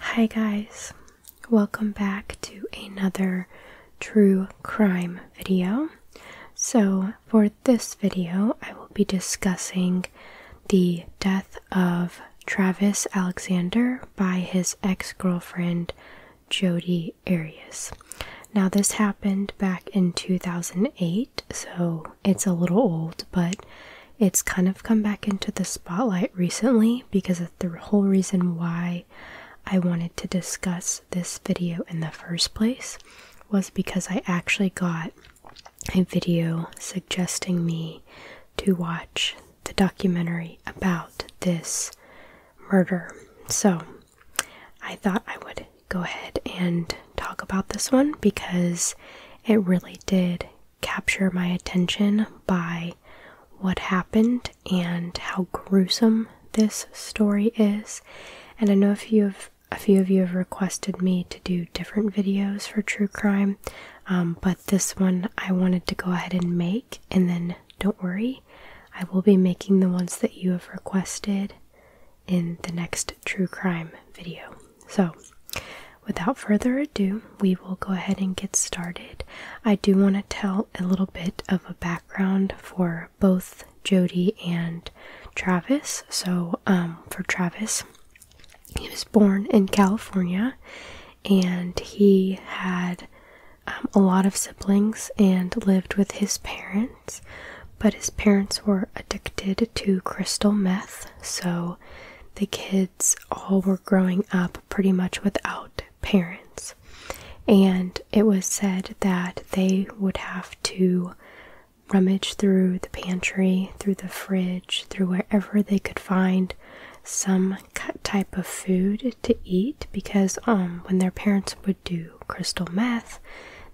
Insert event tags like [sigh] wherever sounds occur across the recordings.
Hi, guys, welcome back to another true crime video. So, for this video, I will be discussing the death of Travis Alexander by his ex girlfriend Jodi Arias. Now, this happened back in 2008 so it's a little old, but it's kind of come back into the spotlight recently because of the whole reason why I wanted to discuss this video in the first place was because I actually got a video suggesting me to watch the documentary about this murder. So I thought I would go ahead and talk about this one because it really did capture my attention by what happened and how gruesome this story is. And I know a few of a few of you have requested me to do different videos for true crime, um, but this one I wanted to go ahead and make. And then don't worry, I will be making the ones that you have requested in the next true crime video. So, without further ado, we will go ahead and get started. I do want to tell a little bit of a background for both Jody and Travis. So, um, for Travis, he was born in California and he had um, a lot of siblings and lived with his parents but his parents were addicted to crystal meth, so the kids all were growing up pretty much without parents. And it was said that they would have to rummage through the pantry, through the fridge, through wherever they could find some type of food to eat because um when their parents would do crystal meth,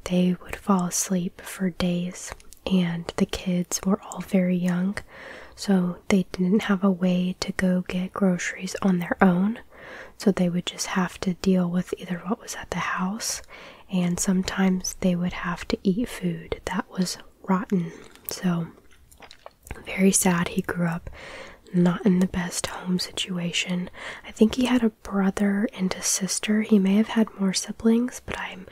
they would fall asleep for days, and the kids were all very young, so they didn't have a way to go get groceries on their own. So they would just have to deal with either what was at the house, and sometimes they would have to eat food that was rotten. So, very sad. He grew up not in the best home situation. I think he had a brother and a sister. He may have had more siblings, but I'm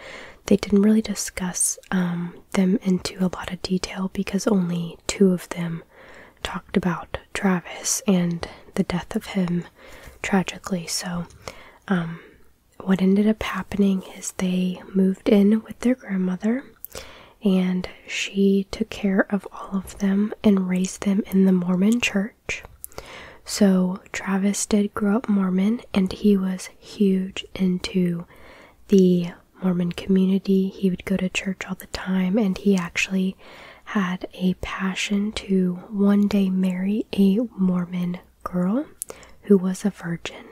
they didn't really discuss um, them into a lot of detail because only two of them talked about Travis and the death of him tragically. So, um, what ended up happening is they moved in with their grandmother and she took care of all of them and raised them in the Mormon church. So Travis did grow up Mormon and he was huge into the Mormon community. He would go to church all the time and he actually had a passion to one day marry a Mormon girl who was a virgin.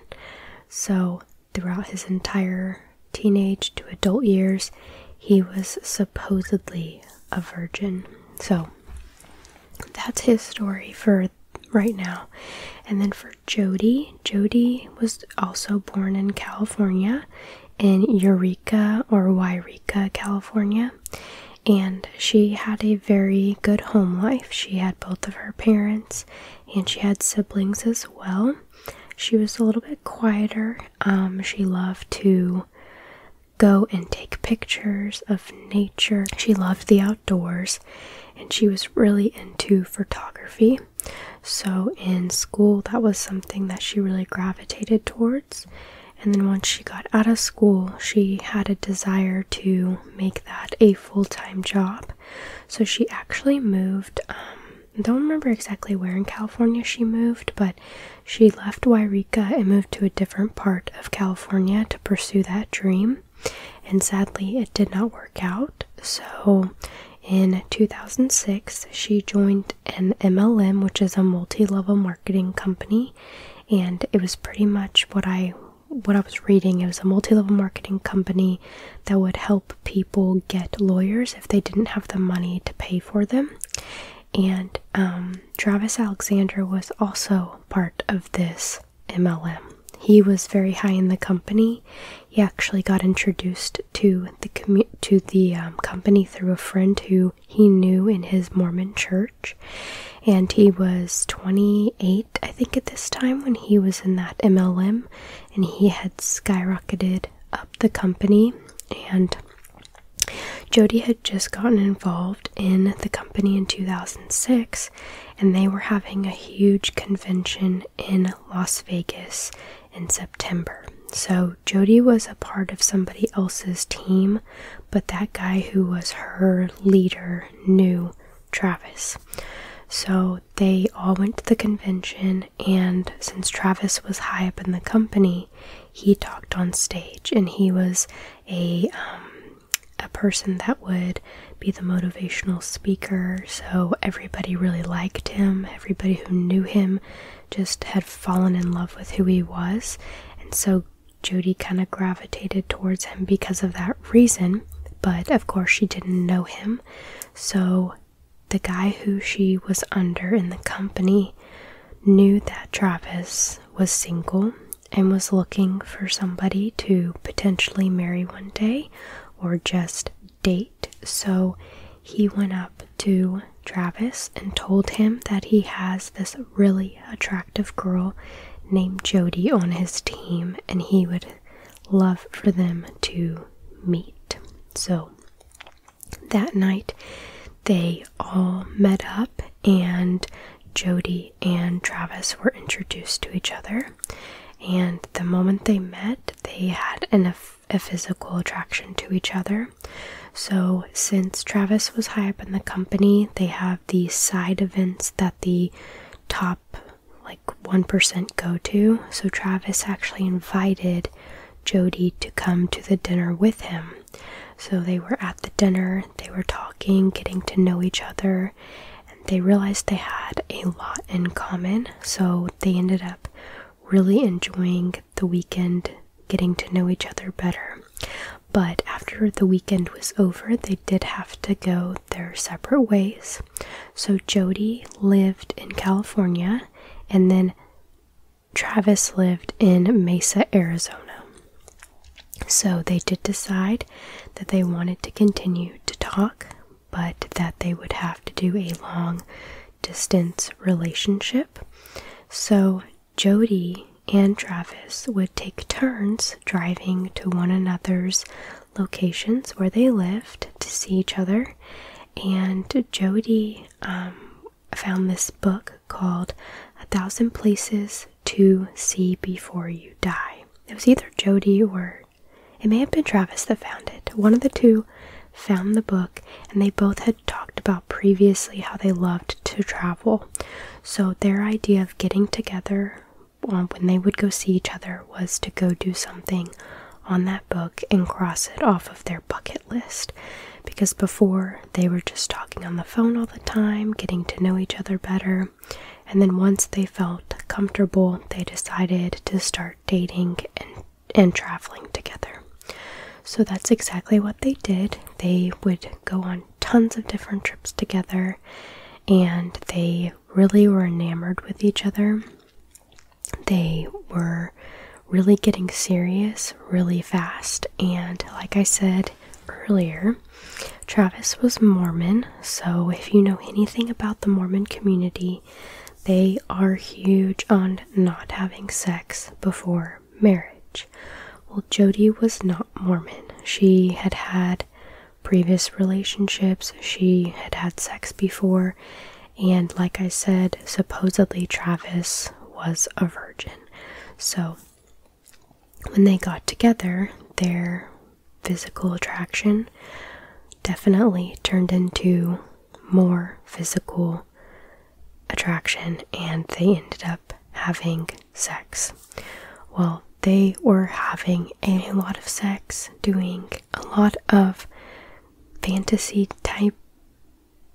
So throughout his entire teenage to adult years, he was supposedly a virgin. So that's his story for right now. And then for Jody, Jody was also born in California, in Eureka or Yreka, California. And she had a very good home life. She had both of her parents and she had siblings as well. She was a little bit quieter. Um, she loved to go and take pictures of nature. She loved the outdoors and she was really into photography. So in school, that was something that she really gravitated towards. And then once she got out of school, she had a desire to make that a full time job. So she actually moved. Um, don't remember exactly where in California she moved, but she left Wairika and moved to a different part of California to pursue that dream, and sadly, it did not work out. So, in 2006, she joined an MLM, which is a multi-level marketing company, and it was pretty much what I what I was reading. It was a multi-level marketing company that would help people get lawyers if they didn't have the money to pay for them. And um, Travis Alexander was also part of this MLM. He was very high in the company. He actually got introduced to the to the um, company through a friend who he knew in his Mormon church, and he was 28, I think, at this time when he was in that MLM, and he had skyrocketed up the company and Jody had just gotten involved in the company in 2006, and they were having a huge convention in Las Vegas in September. So Jody was a part of somebody else's team, but that guy who was her leader knew Travis. So they all went to the convention, and since Travis was high up in the company, he talked on stage and he was a um, a person that would be the motivational speaker so everybody really liked him everybody who knew him just had fallen in love with who he was and so Jody kind of gravitated towards him because of that reason but of course she didn't know him so the guy who she was under in the company knew that Travis was single and was looking for somebody to potentially marry one day or just date, so he went up to Travis and told him that he has this really attractive girl named Jody on his team and he would love for them to meet. So that night they all met up, and Jody and Travis were introduced to each other. And the moment they met, they had a physical attraction to each other. So, since Travis was high up in the company, they have these side events that the top like 1% go to. So, Travis actually invited Jody to come to the dinner with him. So they were at the dinner, they were talking, getting to know each other, and they realized they had a lot in common. So they ended up really enjoying the weekend, getting to know each other better. But after the weekend was over, they did have to go their separate ways. So Jody lived in California, and then Travis lived in Mesa, Arizona. So they did decide that they wanted to continue to talk, but that they would have to do a long distance relationship. So Jody and Travis would take turns driving to one another's locations where they lived to see each other. And Jody um, found this book called A Thousand Places to See Before You Die. It was either Jody or it may have been Travis that found it. One of the two found the book, and they both had talked about previously how they loved to travel. So their idea of getting together um, when they would go see each other was to go do something on that book and cross it off of their bucket list. Because before they were just talking on the phone all the time, getting to know each other better. And then once they felt comfortable, they decided to start dating and, and traveling together. So that's exactly what they did. They would go on tons of different trips together and they really were enamored with each other. They were really getting serious really fast. And like I said earlier, Travis was Mormon. So, if you know anything about the Mormon community, they are huge on not having sex before marriage. Well, Jody was not Mormon. She had had previous relationships, she had had sex before, and like I said, supposedly Travis was a virgin. So, when they got together, their physical attraction definitely turned into more physical attraction and they ended up having sex. Well, they were having a lot of sex, doing a lot of fantasy type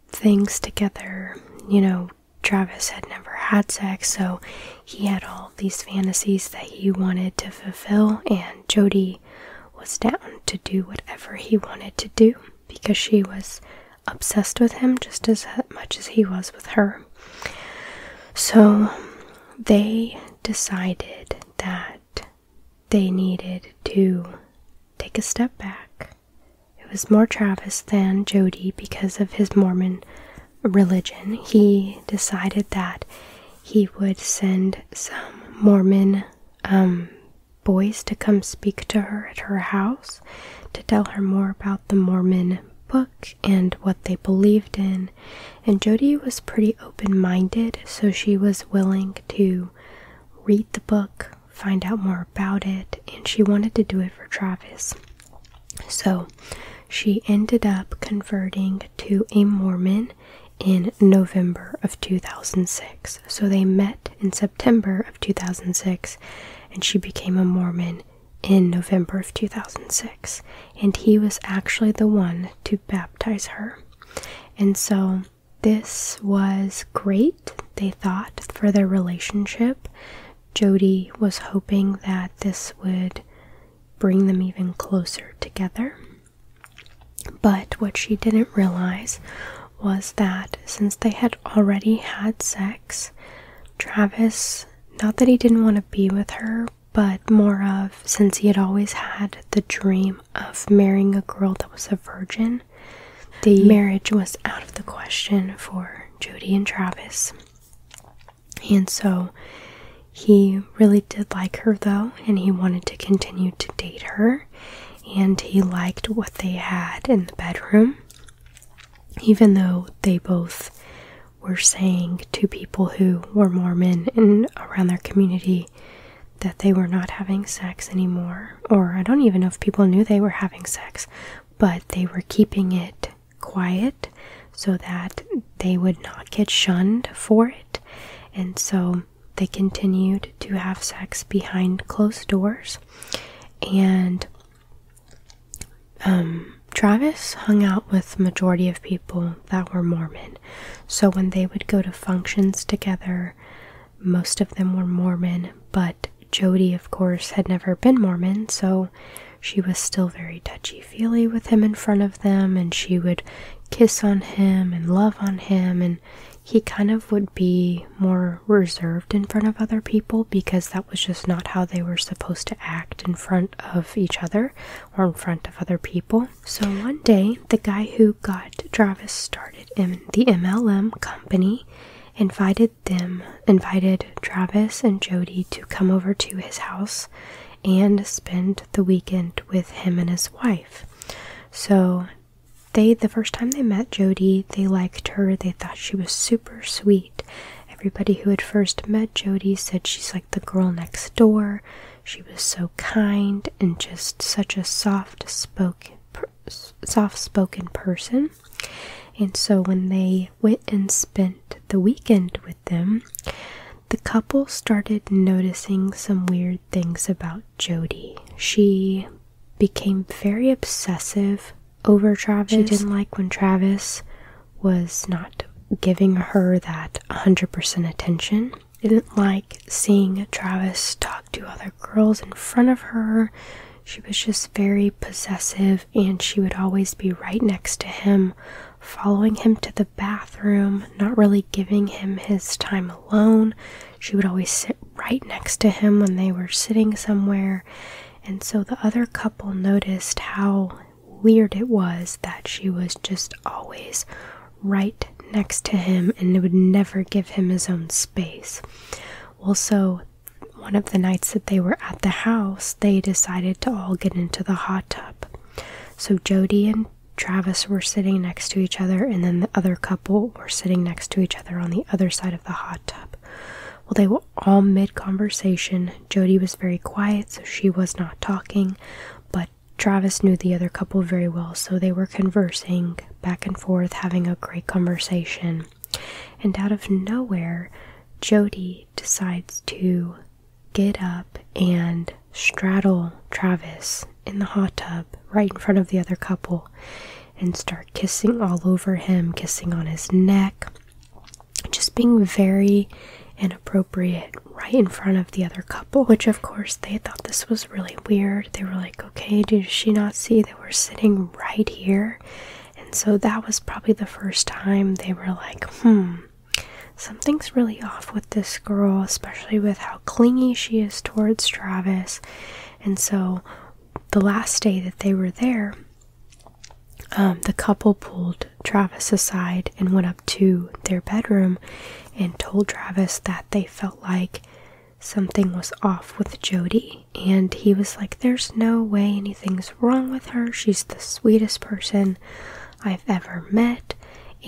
things together. You know, Travis had never had sex, so he had all these fantasies that he wanted to fulfill, and Jody was down to do whatever he wanted to do because she was obsessed with him just as much as he was with her. So they decided that they needed to take a step back it was more Travis than Jody because of his Mormon religion. He decided that he would send some Mormon um, boys to come speak to her at her house to tell her more about the Mormon book and what they believed in. And Jody was pretty open minded, so she was willing to read the book find out more about it, and she wanted to do it for Travis. So she ended up converting to a Mormon in November of 2006. So they met in September of 2006, and she became a Mormon in November of 2006. And he was actually the one to baptize her. And so this was great they thought, for their relationship. Jody was hoping that this would bring them even closer together. But what she didn't realize was that since they had already had sex, Travis, not that he didn't want to be with her, but more of since he had always had the dream of marrying a girl that was a virgin, the marriage was out of the question for are Jody and Travis. And so he really did like her though, and he wanted to continue to date her, and he liked what they had in the bedroom, even though they both were saying to people who were Mormon in around their community that they were not having sex anymore, or I don't even know if people knew they were having sex, but they were keeping it quiet so that they would not get shunned for it. And so they continued to have sex behind closed doors. And um, Travis hung out with majority of people that were Mormon. So when they would go to functions together, most of them were Mormon, but Jody, of course, had never been Mormon, so she was still very touchy feely with him in front of them, and she would kiss on him and love on him, and he kind of would be more reserved in front of other people because that was just not how they were supposed to act in front of each other or in front of other people. So one day, the guy who got Travis started in the MLM company invited invited them invited Travis and Jody to come over to his house and spend the weekend with him and his wife. So they the first time they met Jody, they liked her. They thought she was super sweet. Everybody who had first met Jody said she's like the girl next door. She was so kind and just such a soft spoken soft spoken person. And so when they went and spent the weekend with them, the couple started noticing some weird things about Jody. She became very obsessive over Travis. She didn't like when Travis was not giving her that 100% attention. Didn't like seeing Travis talk to other girls in front of her. She was just very possessive, and she would always be right next to him, following him to the bathroom, not really giving him his time alone. She would always sit right next to him when they were sitting somewhere. And so the other couple noticed how weird it was that she was just always right next to him and would never give him his own space. Well, so one of the nights that they were at the house, they decided to all get into the hot tub. So Jody and Travis were sitting next to each other, and then the other couple were sitting next to each other on the other side of the hot tub. Well, they were all mid conversation. Jody was very quiet, so she was not talking, but Travis knew the other couple very well, so they were conversing back and forth, having a great conversation. And out of nowhere, Jody decides to get up and straddle Travis in the hot tub right in front of the other couple and start kissing all over him, kissing on his neck, just being very inappropriate right in front of the other couple, which of course they thought this was really weird. They were like, okay, did she not see that we're sitting right here? And so that was probably the first time they were like, hmm, something's really off with this girl, especially with how clingy she is towards Travis. And so the last day that they were there, um, the couple pulled Travis aside and went up to their bedroom and told Travis that they felt like something was off with Jody and he was like, There's no way anything's wrong with her. She's the sweetest person I've ever met.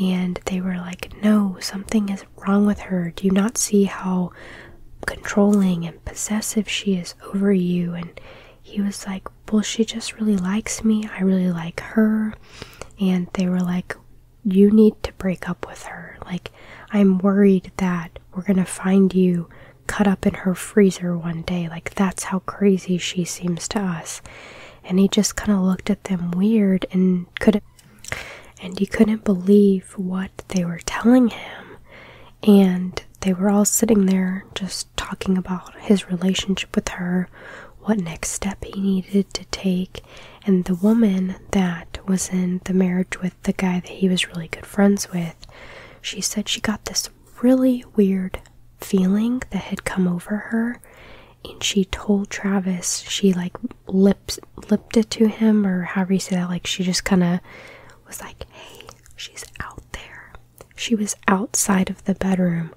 And they were like, No, something is wrong with her. Do you not see how controlling and possessive she is over you? And he was like, Well, she just really likes me. I really like her. And they were like, You need to break up with her. Like, I'm worried that we're going to find you cut up in her freezer one day. Like, that's how crazy she seems to us. And he just kind of looked at them weird and couldn't. And he couldn't believe what they were telling him. And they were all sitting there just talking about his relationship with her, what next step he needed to take. And the woman that was in the marriage with the guy that he was really good friends with, she said she got this really weird feeling that had come over her and she told Travis she like lipped lipped it to him or however you say that like she just kind of was like hey she's out there she was outside of the bedroom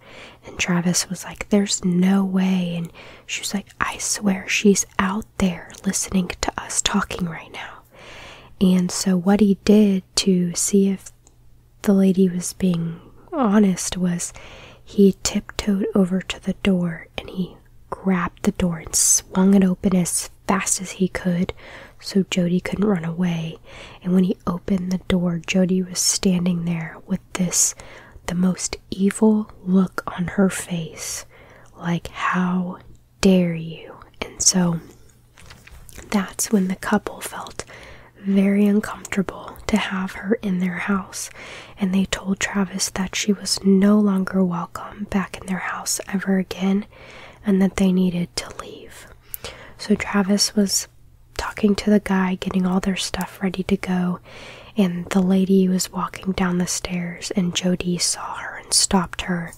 and Travis was like there's no way and she was like I swear she's out there listening to us talking right now and so, what he did to see if the lady was being honest was he tiptoed over to the door and he grabbed the door and swung it open as fast as he could so Jody couldn't run away. And when he opened the door, Jody was standing there with this the most evil look on her face. Like, how dare you? And so that's when the couple felt very uncomfortable to have her in their house, and they told Travis that she was no longer welcome back in their house ever again and that they needed to leave. So Travis was talking to the guy, getting all their stuff ready to go, and the lady was walking down the stairs, and Jody saw her and stopped her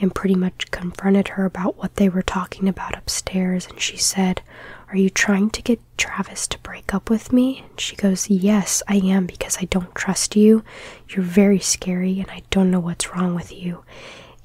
and pretty much confronted her about what they were talking about upstairs. And she said, Are you trying to get Travis to break up with me? she goes, Yes, I am because I don't trust you. You're very scary and I don't know what's wrong with you.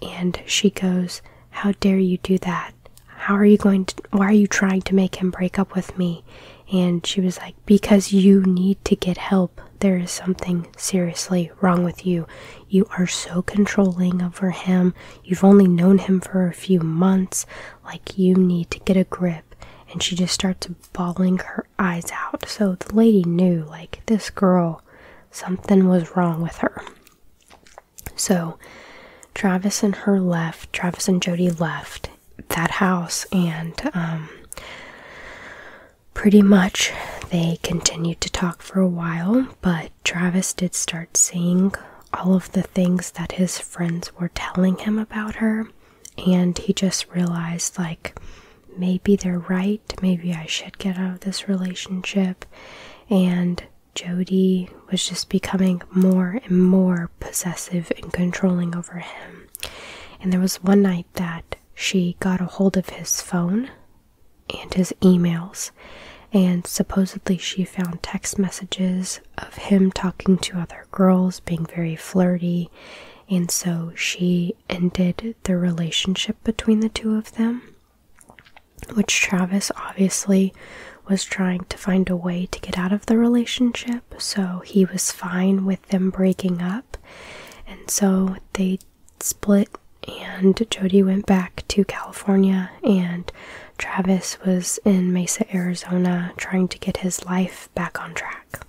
And she goes, How dare you do that? How are you going why are you trying to make him break up with me? And she was like, Because you need to get help there is something seriously wrong with you. You are so controlling over him. You've only known him for a few months. Like, you need to get a grip. And she just starts bawling her eyes out. So the lady knew, like, this girl, something was wrong with her. So Travis and her left, Travis and Jody left that house, and um, pretty much they continued to talk for a while, but Travis did start seeing all of the things that his friends were telling him about her, and he just realized, like, maybe they're right, maybe I should get out of this relationship. And Jody was just becoming more and more possessive and controlling over him. And there was one night that she got a hold of his phone and his emails, and supposedly she found text messages of him talking to other girls, being very flirty, and so she ended the relationship between the two of them. Which Travis obviously was trying to find a way to get out of the relationship, so he was fine with them breaking up. And so they split and Jody went back to California and Travis was in Mesa, Arizona trying to get his life back on track.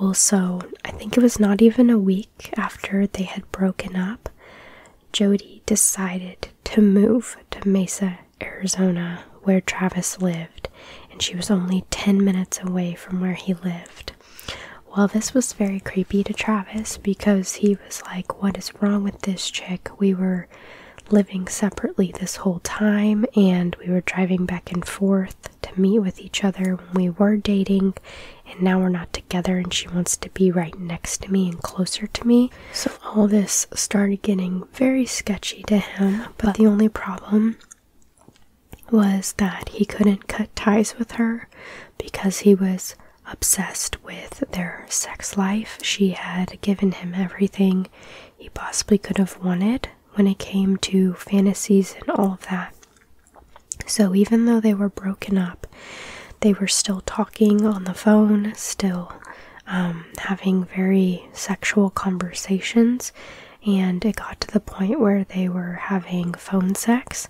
Well, so I think it was not even a week after they had broken up, Jody decided to move to Mesa, Arizona, where Travis lived, and she was only 10 minutes away from where he lived. Well, this was very creepy to Travis because he was like, What is wrong with this chick? We were living separately this whole time and we were driving back and forth to meet with each other when we were dating and now we're not together and she wants to be right next to me and closer to me so all this started getting very sketchy to him but the only problem was that he couldn't cut ties with her because he was obsessed with their sex life. She had given him everything he possibly could have wanted when it came to fantasies and all of that. So even though they were broken up, they were still talking on the phone, still um, having very sexual conversations. And it got to the point where they were having phone sex,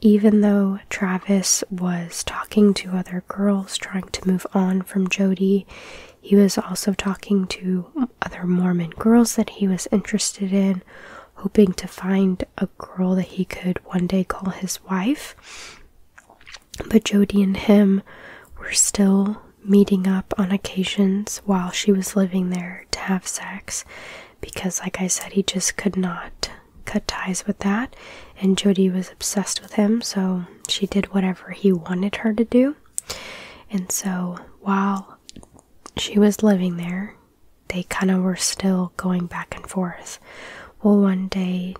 even though Travis was talking to other girls trying to move on from Jody, he was also talking to other Mormon girls that he was interested in, hoping to find a girl that he could one day call his wife. But Jody and him were still meeting up on occasions while she was living there to have sex, because, like I said, he just could not cut ties with that. And Jody was obsessed with him, so she did whatever he wanted her to do. And so while she was living there, they kind of were still going back and forth. Well, one day,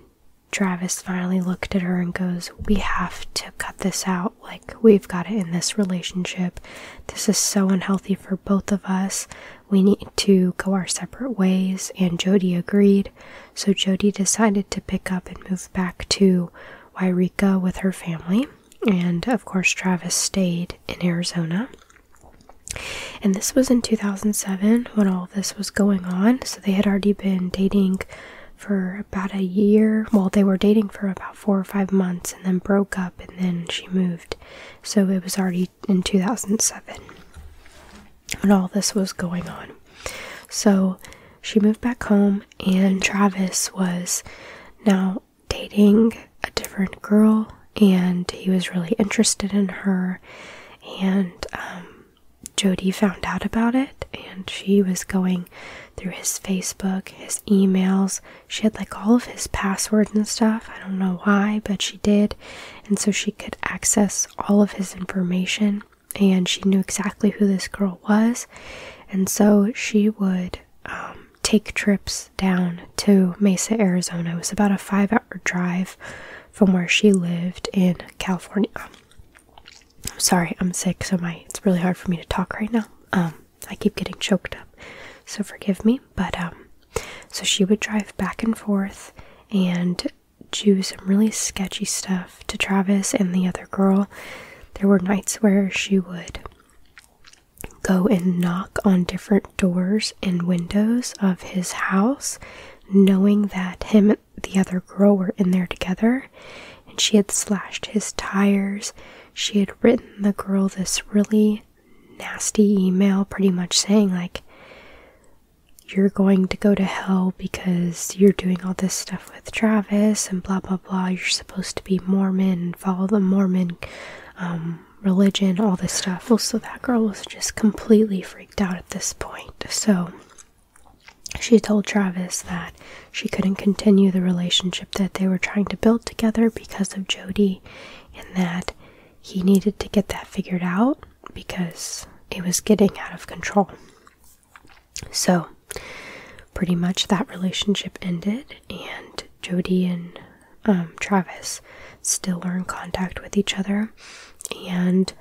Travis finally looked at her and goes, We have to cut this out. Like, we've got it in this relationship. This is so unhealthy for both of us we need to go our separate ways, and Jody agreed. So Jody decided to pick up and move back to Wairika with her family. And of course, Travis stayed in Arizona. And this was in 2007 when all this was going on. So they had already been dating for about a year. Well, they were dating for about four or five months and then broke up, and then she moved so it was already in 2007 when all this was going on. So she moved back home, and Travis was now dating a different girl, and he was really interested in her. And um, Jody found out about it, and she was going through his Facebook, his emails, she had like all of his passwords and stuff. I don't know why, but she did. And so she could access all of his information and she knew exactly who this girl was. And so she would um, take trips down to Mesa, Arizona. It was about a five hour drive from where she lived in California. I'm um, sorry, I'm sick, so my it's really hard for me to talk right now. Um, I keep getting choked up, so forgive me. But so she would drive back and forth and do some really sketchy stuff to Travis and the other girl. There were nights where she would go and knock on different doors and windows of his house, knowing that him and the other girl were in there together. And she had slashed his tires. She had written the girl this really nasty email pretty much saying, like, you're going to go to hell because you're doing all this stuff with Travis and blah blah blah. You're supposed to be Mormon and follow the Mormon um, religion, all this stuff. so that girl was just completely freaked out at this point. So she told Travis that she couldn't continue the relationship that they were trying to build together because of Jody and that he needed to get that figured out because it was getting out of control. So, pretty much that relationship ended, and Jody and um, Travis still are in contact with each other, and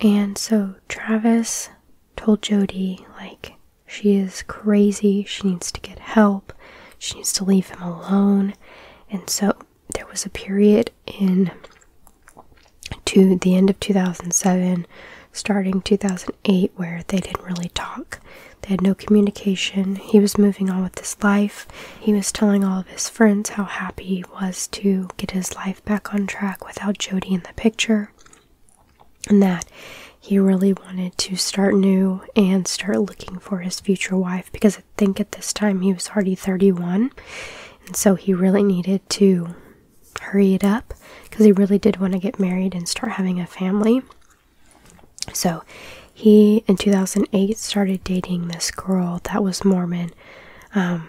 and so Travis told Jody like she is crazy, she needs to get help, she needs to leave him alone, and so there was a period in to the end of 2007, starting 2008, where they didn't really talk. They had no communication. He was moving on with his life. He was telling all of his friends how happy he was to get his life back on track without Jody in the picture, and that he really wanted to start new and start looking for his future wife because think at this time he was already 31, and so he really needed to hurry it up because he really did want to get married and start having a family. So he in 2008 started dating this girl that was Mormon. Um,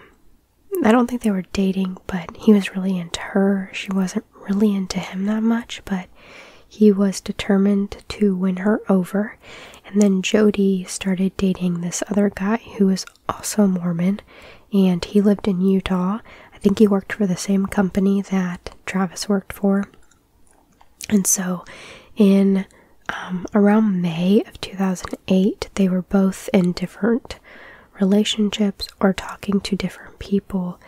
I don't think they were dating, but he was really into her. She wasn't really into him that much, but he was determined to win her over, and then Jody started dating this other guy who was also a Mormon, and he lived in Utah. I think he worked for the same company that Travis worked for. And so, in um, around May of 2008, they were both in different relationships or talking to different people.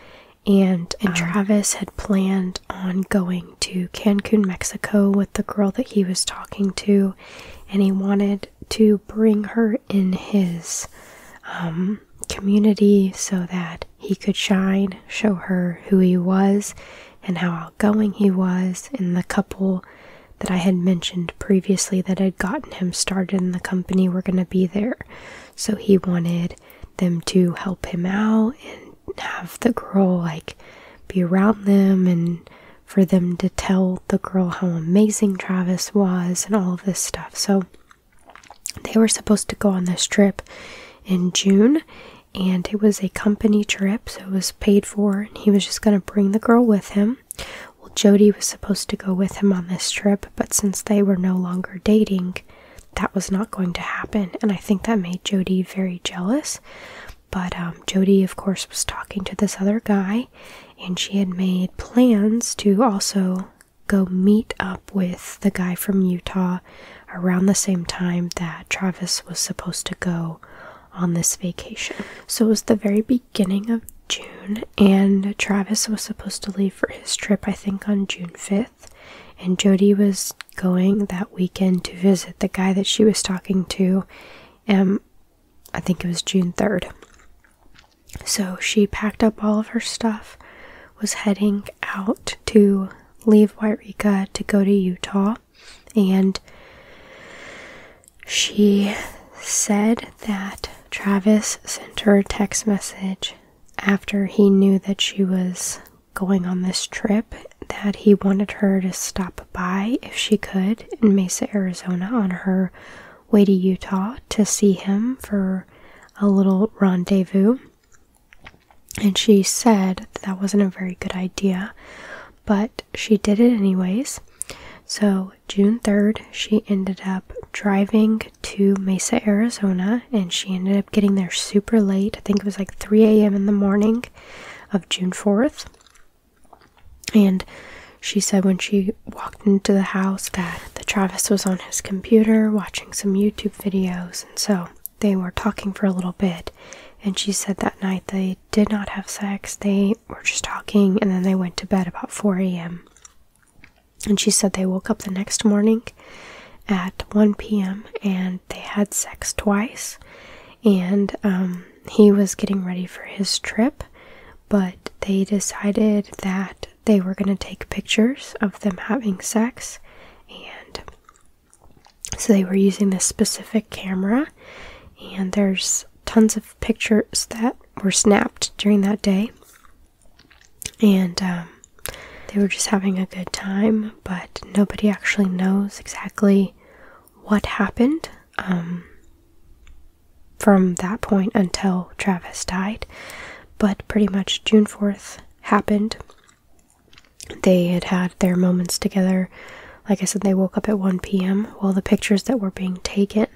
And, and uh-huh. Travis had planned on going to Cancun, Mexico with the girl that he was talking to, and he wanted to bring her in his um, community so that he could shine, show her who he was, and how outgoing he was, and the couple that I had mentioned previously that had gotten him started in the company were going to be there. So he wanted them to help him out and have the girl like be around them and for them to tell the girl how amazing Travis was and all this stuff. So they were supposed to go on this trip in June and it was a company trip, so it was paid for, and he was just going to bring the girl with him. Well, Jody was supposed to go with him on this trip, but since they were no longer dating, that was not going to happen. And I think that made Jody very jealous. But um, Jody, of course, was talking to this other guy, and she had made plans to also go meet up with the guy from Utah around the same time that Travis was supposed to go on this vacation. So it was the very beginning of June, and Travis was supposed to leave for his trip, I think, on June 5th and Jody was going that weekend to visit the guy that she was talking to. Um, I think it was June 3rd. So she packed up all of her stuff, was heading out to leave Wairika to go to Utah, and she said that Travis sent her a text message after he knew that she was going on this trip that he wanted her to stop by if she could in Mesa, Arizona on her way to Utah to see him for a little rendezvous. And she said that, wasn't a very good idea, but she did it anyways. So, June 3rd, she ended up driving to Mesa, Arizona, and she ended up getting there super late. I think it was like 3 a.m. in the morning of June 4th. And she said when she walked into the house that the Travis was on his computer watching some YouTube videos and so they were talking for a little bit and she said that night they did not have sex they were just talking and then they went to bed about 4 a.m and she said they woke up the next morning at 1 p.m and they had sex twice. And um, he was getting ready for his trip, but they decided that they were going to take pictures of them having sex. And so they were using this specific camera, and there's tons of pictures that were snapped during that day. And um, they were just having a good time but nobody actually knows exactly what happened um, from that point until Travis died. But pretty much June 4th happened. They had had their moments together. Like I said, they woke up at 1 p.m. While the pictures that were being taken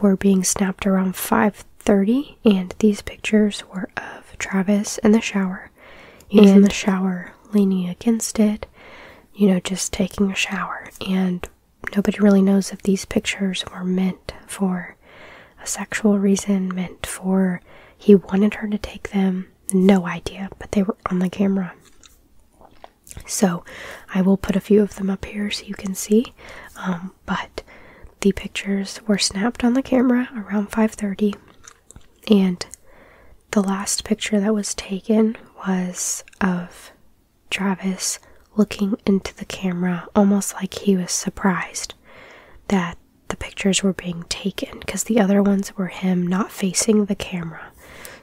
were being snapped around 5:30, and these pictures were of Travis in the shower shower. in the shower, leaning against it, you know, just taking a shower. And nobody really knows if these pictures were meant for a sexual reason, meant for he wanted her to take them. No idea, but they were on the camera. So I will put a few of them up here so you can see. Um, but the pictures were snapped on the camera around 5:30 and the last picture that was taken was of Travis looking into the camera almost like he was surprised that the pictures were being taken because the other ones were him not facing the camera.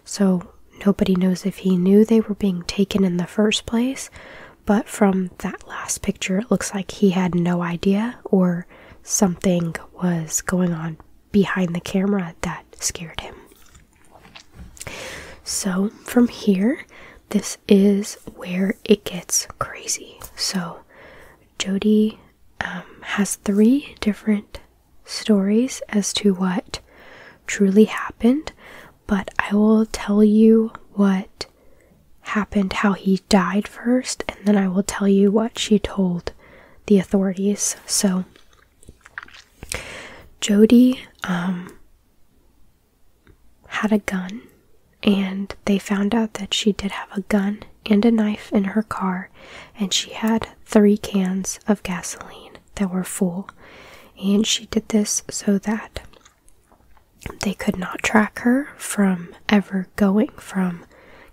So nobody knows if he knew they were being taken in the first place, but from that last picture, it looks like he had no idea or something was going on behind the camera that scared him. So, from here, this is where it gets crazy. So, Jody um, has three different stories as to what truly happened, but I will tell you what happened, how he died first, and then I will tell you what she told the authorities. So Jody um, had a gun, and they found out that she did have a gun and a knife in her car, and she had three cans of gasoline that were full. And she did this so that they could not track her from ever going from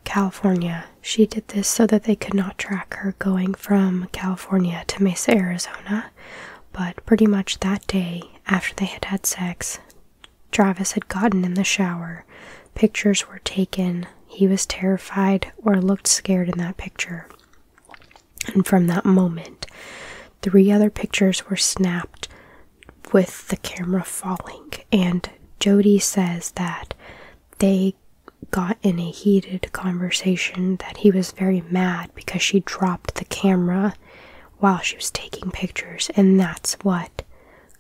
California she did this so that they could not track her going from California to Mesa, Arizona. But pretty much that day, after they had had sex, Travis had gotten in the shower. Pictures were taken. He was terrified or looked scared in that picture. And from that moment, three other pictures were snapped with the camera falling and Jody says that they got in a heated conversation that he was very mad because she dropped the camera while she was taking pictures, and that's what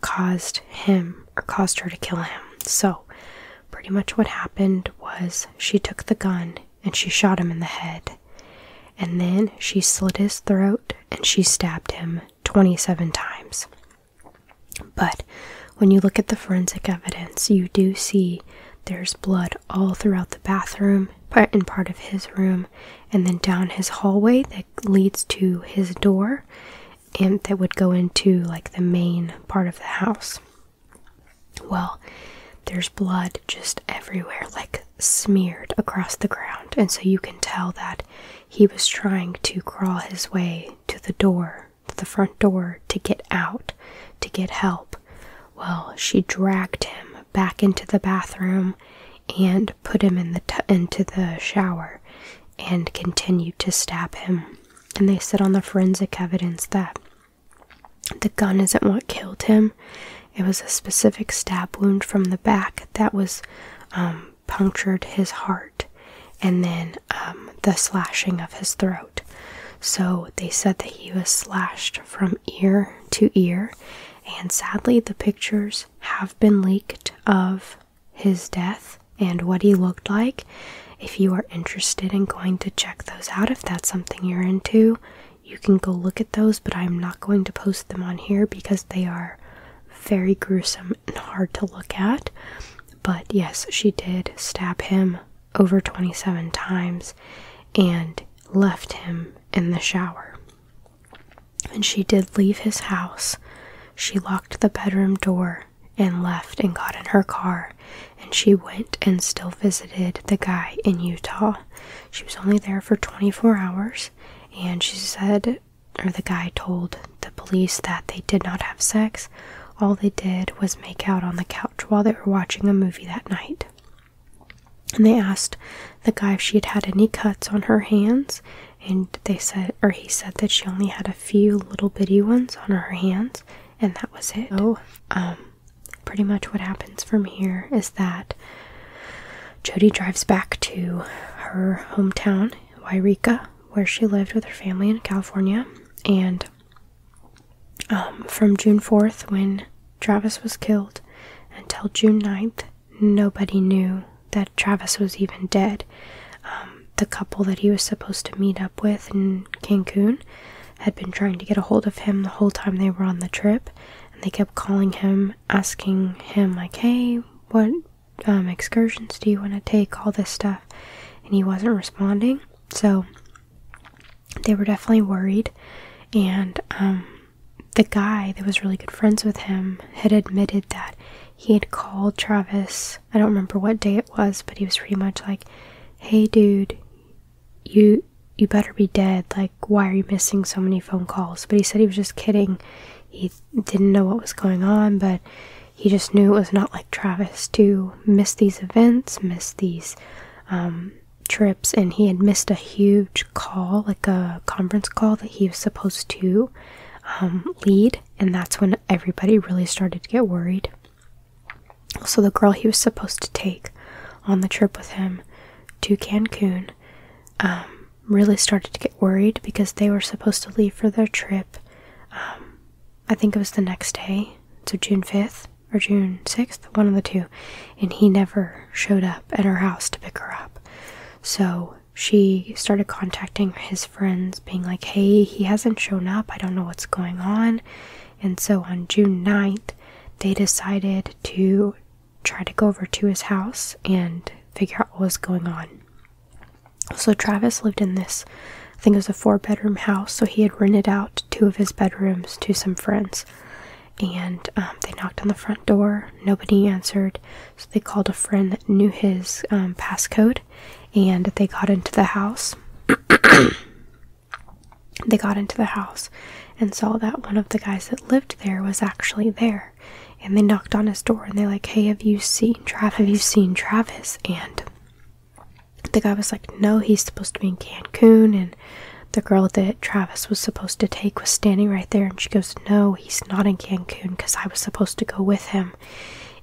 caused him or caused her to kill him. So, pretty much what happened was she took the gun and she shot him in the head, and then she slit his throat and she stabbed him 27 times. But when you look at the forensic evidence, you do see there's blood all throughout the bathroom, part in part of his room, and then down his hallway that leads to his door and that would go into like the main part of the house. Well, there's blood just everywhere, like smeared across the ground, and so you can tell that he was trying to crawl his way to the door, the front door, to get out, to get help. Well, she dragged him back into the bathroom and put him into the shower and continued to stab him. And they said on the forensic evidence that the gun isn't what killed him. It was a specific stab wound from the back that was um, punctured his heart and then um, the slashing of his throat. So they said that he was slashed from ear to ear, and sadly, the pictures have been leaked of his death and what he looked like. If you are interested in going to check those out, if that's something you're into, you can go look at those, but I'm not going to post them on here because they are very gruesome and hard to look at. But yes, she did stab him over 27 times and left him in the shower. And she did leave his house. She locked the bedroom door and left and got in her car. And she went and still visited the guy in Utah. She was only there for 24 hours. And she said or the guy told the police that they did not have sex. All they did was make out on the couch while they were watching a movie that night. And they asked the guy if she had had any cuts on her hands, and they said, or he said that she only had a few little bitty ones on her hands, and that was it. Oh, um, pretty much what happens from here is that Jody drives back to her hometown, Wairika, where she lived with her family in California. And um, from June 4th, when Travis was killed, until June 9th, nobody knew that Travis was even dead. Um, the couple that he was supposed to meet up with in Cancun had been trying to get a hold of him the whole time they were on the trip, and they kept calling him, asking him, like, hey, what um, excursions do you want to take? All this stuff. And he wasn't responding. So they were definitely worried. And um, the guy that was really good friends with him had admitted that he had called Travis. I don't remember what day it was, but he was pretty much like, hey, dude, you. You better be dead. Like, why are you missing so many phone calls? But he said he was just kidding. He didn't know what was going on, but he just knew it was not like Travis to miss these events, miss these um, trips, and he had missed a huge call, like a conference call that he was supposed to um, lead, and that's when everybody really started to get worried. So, the girl he was supposed to take on the trip with him to Cancun um, really started to get worried because they were supposed to leave for their trip um, I think it was the next day, so June 5th or June 6th, one of the two, and he never showed up at her house to pick her up. So she started contacting his friends, being like, Hey, he hasn't shown up, I don't know what's going on. And so on June 9th, they decided to try to go over to his house and figure out what was going on. So Travis lived in this, I think it was a four bedroom house, so he had rented out two of his bedrooms to some friends. And um, they knocked on the front door, nobody answered, so they called a friend that knew his um, passcode and they got into the house. [coughs] they got into the house and saw that one of the guys that lived there was actually there and they knocked on his door and they're like, Hey, have you seen Travis? Have you seen Travis? And the guy was like, No, he's supposed to be in Cancun. And the girl that Travis was supposed to take was standing right there. And she goes, No, he's not in Cancun because I was supposed to go with him.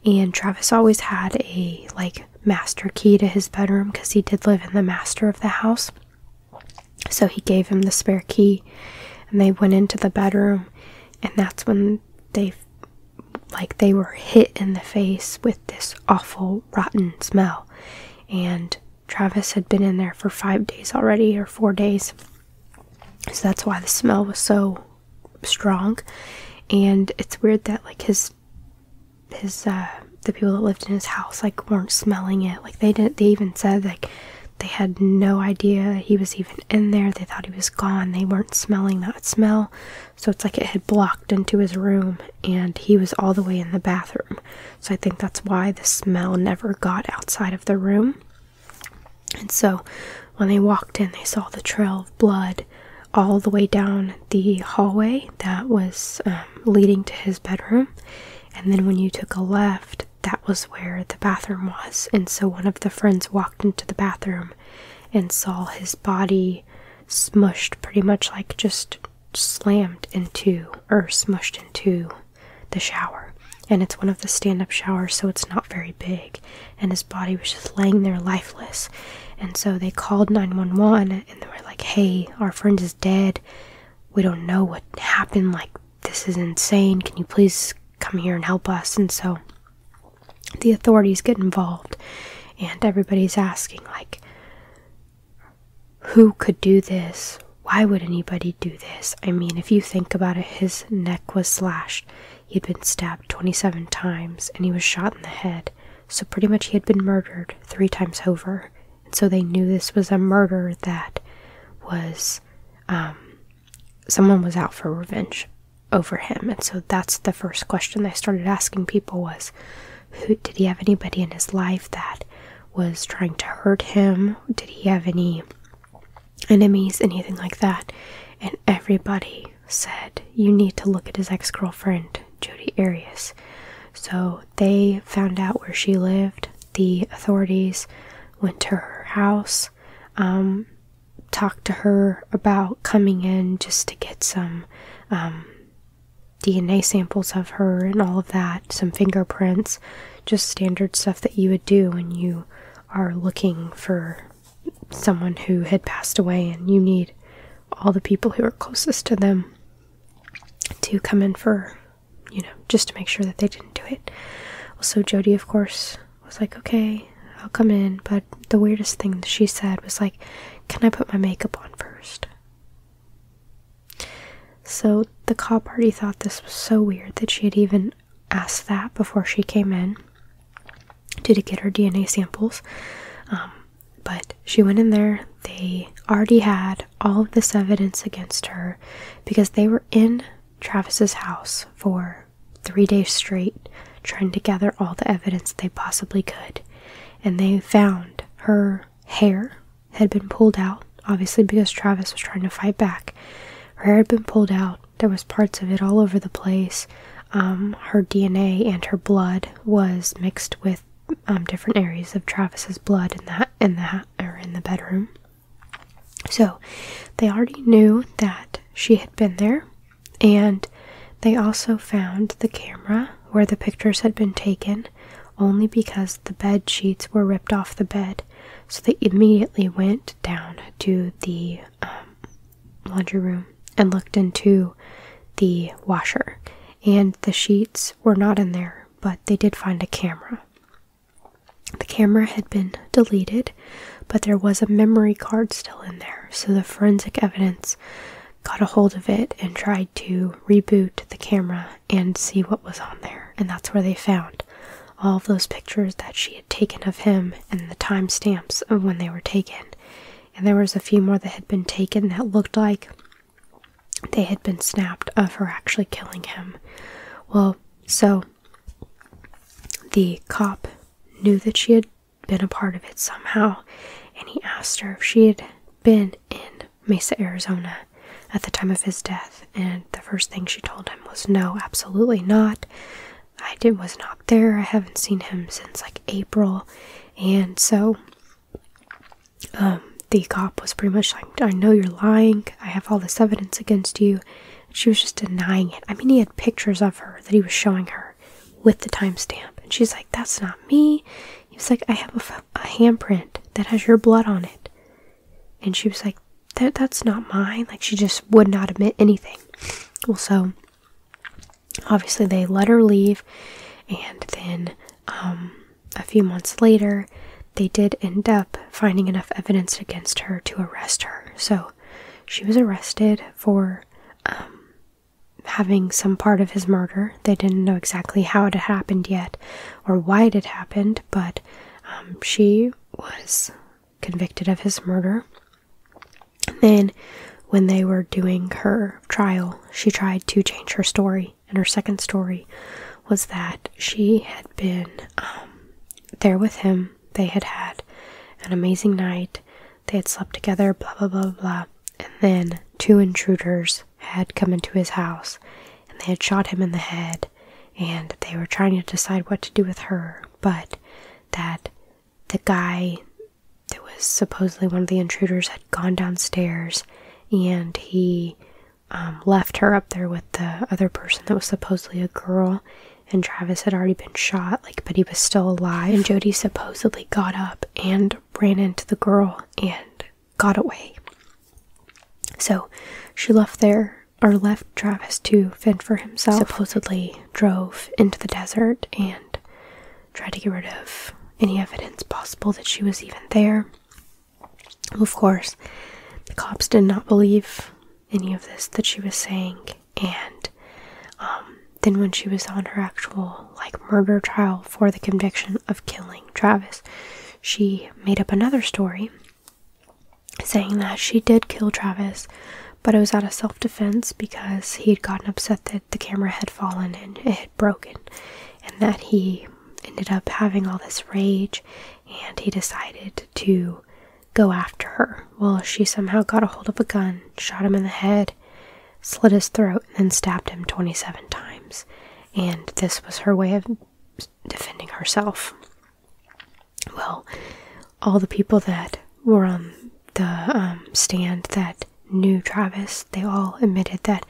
And Travis always had a like master key to his bedroom because he did live in the master of the house. So he gave him the spare key and they went into the bedroom. And that's when they like they were hit in the face with this awful, rotten smell. And Travis had been in there for five days already, or four days. So that's why the smell was so strong. And it's weird that, like, his, his, uh, the people that lived in his house, like, weren't smelling it. Like, they didn't, they even said, like, they had no idea he was even in there. They thought he was gone. They weren't smelling that smell. So it's like it had blocked into his room and he was all the way in the bathroom. So I think that's why the smell never got outside of the room. And so when they walked in, they saw the trail of blood all the way down the hallway that was um, leading to his bedroom. And then when you took a left, that was where the bathroom was. And so one of the friends walked into the bathroom and saw his body smushed pretty much like just slammed into or smushed into the shower. And it's one of the stand up showers, so it's not very big. And his body was just laying there lifeless. And so they called 911 and they were like, hey, our friend is dead. We don't know what happened. Like, this is insane. Can you please come here and help us. And so the authorities get involved, and everybody's asking, like, who could do this? Why would anybody do this? I mean, if you think about it, his neck was slashed. He'd been stabbed 27 times and he was shot in the head. So, pretty much, he had been murdered three times over. And so, they knew this was a murder that was um, someone was out for revenge over him. And so that's the first question I started asking people was who did he have anybody in his life that was trying to hurt him? Did he have any enemies, anything like that? And everybody said, You need to look at his ex girlfriend, Jodi Arias. So they found out where she lived. The authorities went to her house. Um, Talk to her about coming in just to get some um, DNA samples of her and all of that, some fingerprints, just standard stuff that you would do when you are looking for someone who had passed away and you need all the people who are closest to them to come in for you know just to make sure that they didn't do it also jody of course was like, okay, I'll come in. But the weirdest thing she said was like, can I put my makeup on first? So the cop already thought this was so weird that she had even asked that before she came in to, to get her DNA samples. Um, but she went in there, they already had all of this evidence against her because they were in Travis's house for three days straight trying to gather all the evidence they possibly could. And they found her hair had been pulled out, obviously, because Travis was trying to fight back. Her hair had been pulled out, there was parts of it all over the place. Um, her DNA and her blood was mixed with um, different areas of Travis's blood in that in that or in the bedroom. So they already knew that she had been there, and they also found the camera where the pictures had been taken only because the bed sheets were ripped off the bed. So they immediately went down to the um, laundry room and looked into the washer, and the sheets were not in there, but they did find a camera. The camera had been deleted but there was a memory card still in there, so the forensic evidence got a hold of it and tried to reboot the camera and see what was on there. And that's where they found all of those pictures that she had taken of him and the timestamps of when they were taken. And there was a few more that had been taken that looked like they had been snapped of her actually killing him. Well, so the cop knew that she had been a part of it somehow, and he asked her if she had been in Mesa, Arizona at the time of his death. And the first thing she told him was, No, absolutely not. I did, was not there. I haven't seen him since like April. And so um, the cop was pretty much like, I know you're lying. I have all this evidence against you. She was just denying it. I mean, he had pictures of her that he was showing her with the timestamp. And she's like, that's not me. He was like, I have a, handprint that has your blood on it. And she was like, that, that's not mine. Like, she just would not admit anything. Well, so obviously they let her leave. And then um, a few months later, they did end up finding enough evidence against her to arrest her. So she was arrested for um, having some part of his murder. They didn't know exactly how it had happened yet or why it had happened, but um, she was convicted of his murder. then, when they were doing her trial, she tried to change her story. And her second story was that she had been um, there with him they had had an amazing night. They had slept together, blah, blah, blah, blah. And then two intruders had come into his house and they had shot him in the head. And they were trying to decide what to do with her, but that the guy that was supposedly one of the intruders had gone downstairs and he um, left her up there with the other person that was supposedly a girl and Travis had already been shot, like, but he was still alive. And Jody supposedly got up and ran into the girl and got away. So she left there or left Travis to fend for himself. Supposedly drove into the desert and tried to get rid of any evidence possible that she was even there. Of course, the cops did not believe any of this that she was saying and um, then when she was on her actual like murder trial for the conviction of killing Travis she made up another story saying that she did kill Travis but it was out of self-defense because he had gotten upset that the camera had fallen and it had broken and that he ended up having all this rage and he decided to go after her. Well, she somehow got a hold of a gun, shot him in the head, slit his throat, and then stabbed him 27 times. And this was her way of defending herself. Well, all the people that were on the um, stand that knew Travis, they all admitted that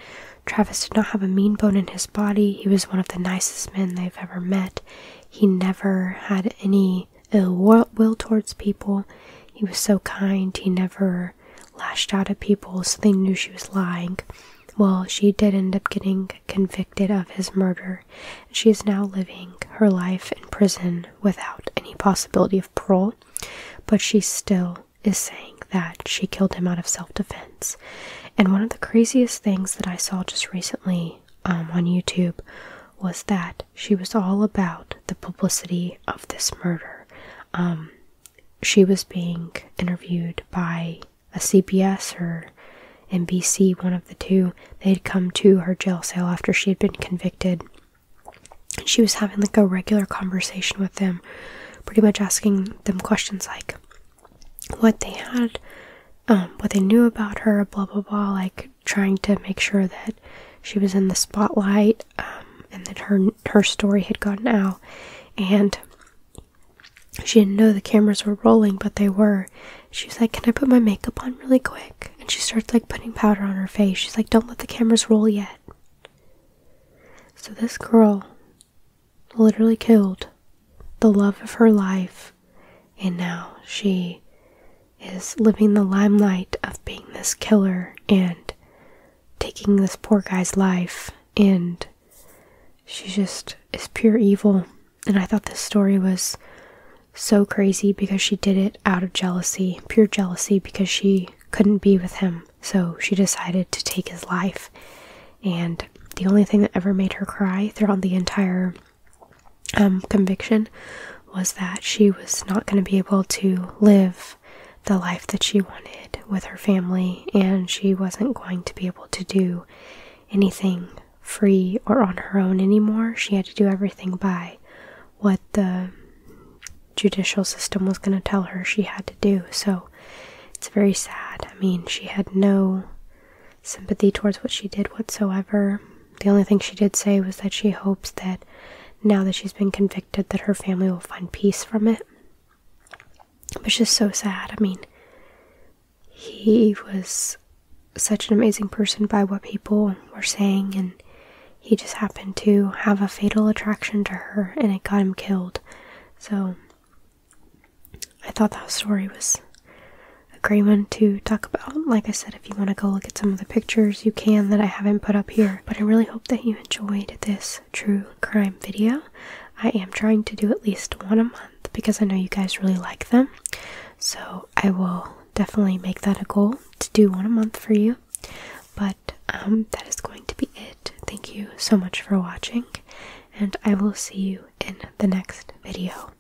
Travis did not have a mean bone in his body. He was one of the nicest men they've ever met. He never had any ill will towards people. He was so kind, he never lashed out at people, so they knew she was lying. Well, she did end up getting convicted of his murder. She is now living her life in prison without any possibility of parole, but she still is saying that she killed him out of self defense. And one of the craziest things that I saw just recently um, on YouTube was that she was all about the publicity of this murder. Um, she was being interviewed by a CBS or NBC, one of the two. They had come to her jail cell after she had been convicted. And she was having like a regular conversation with them, pretty much asking them questions like what they had, um, what they knew about her, blah blah blah, like trying to make sure that she was in the spotlight um, and that her her story had gone out and she didn't know the cameras were rolling but they were She's like can i put my makeup on really quick and she starts like putting powder on her face she's like don't let the cameras roll yet so this girl literally killed the love of her life and now she is living the limelight of being this killer and taking this poor guy's life, and she just is pure evil. And I thought this story was so crazy because she did it out of jealousy, pure jealousy, because she couldn't be with him. So she decided to take his life. And the only thing that ever made her cry throughout the entire um, conviction was that she was not going to be able to live the life that she wanted with her family, and she wasn't going to be able to do anything free or on her own anymore. She had to do everything by what the judicial system was going to tell her she had to do. So it's very sad. I mean, she had no sympathy towards what she did whatsoever. The only thing she did say was that she hopes that now that she's been convicted that her family will find peace from it. Which is so sad. I mean, he was such an amazing person by what people were saying and he just happened to have a fatal attraction to her and it got him killed. So I thought that story was a great one to talk about. Like I said, if you want to go look at some of the pictures, you can that I haven't put up here. But I really hope that you enjoyed this true crime video. I am trying to do at least one a month because I know you guys really like them. So I will definitely make that a goal to do one a month for you. But um, that is going to be it. Thank you so much for watching, and I will see you in the next video.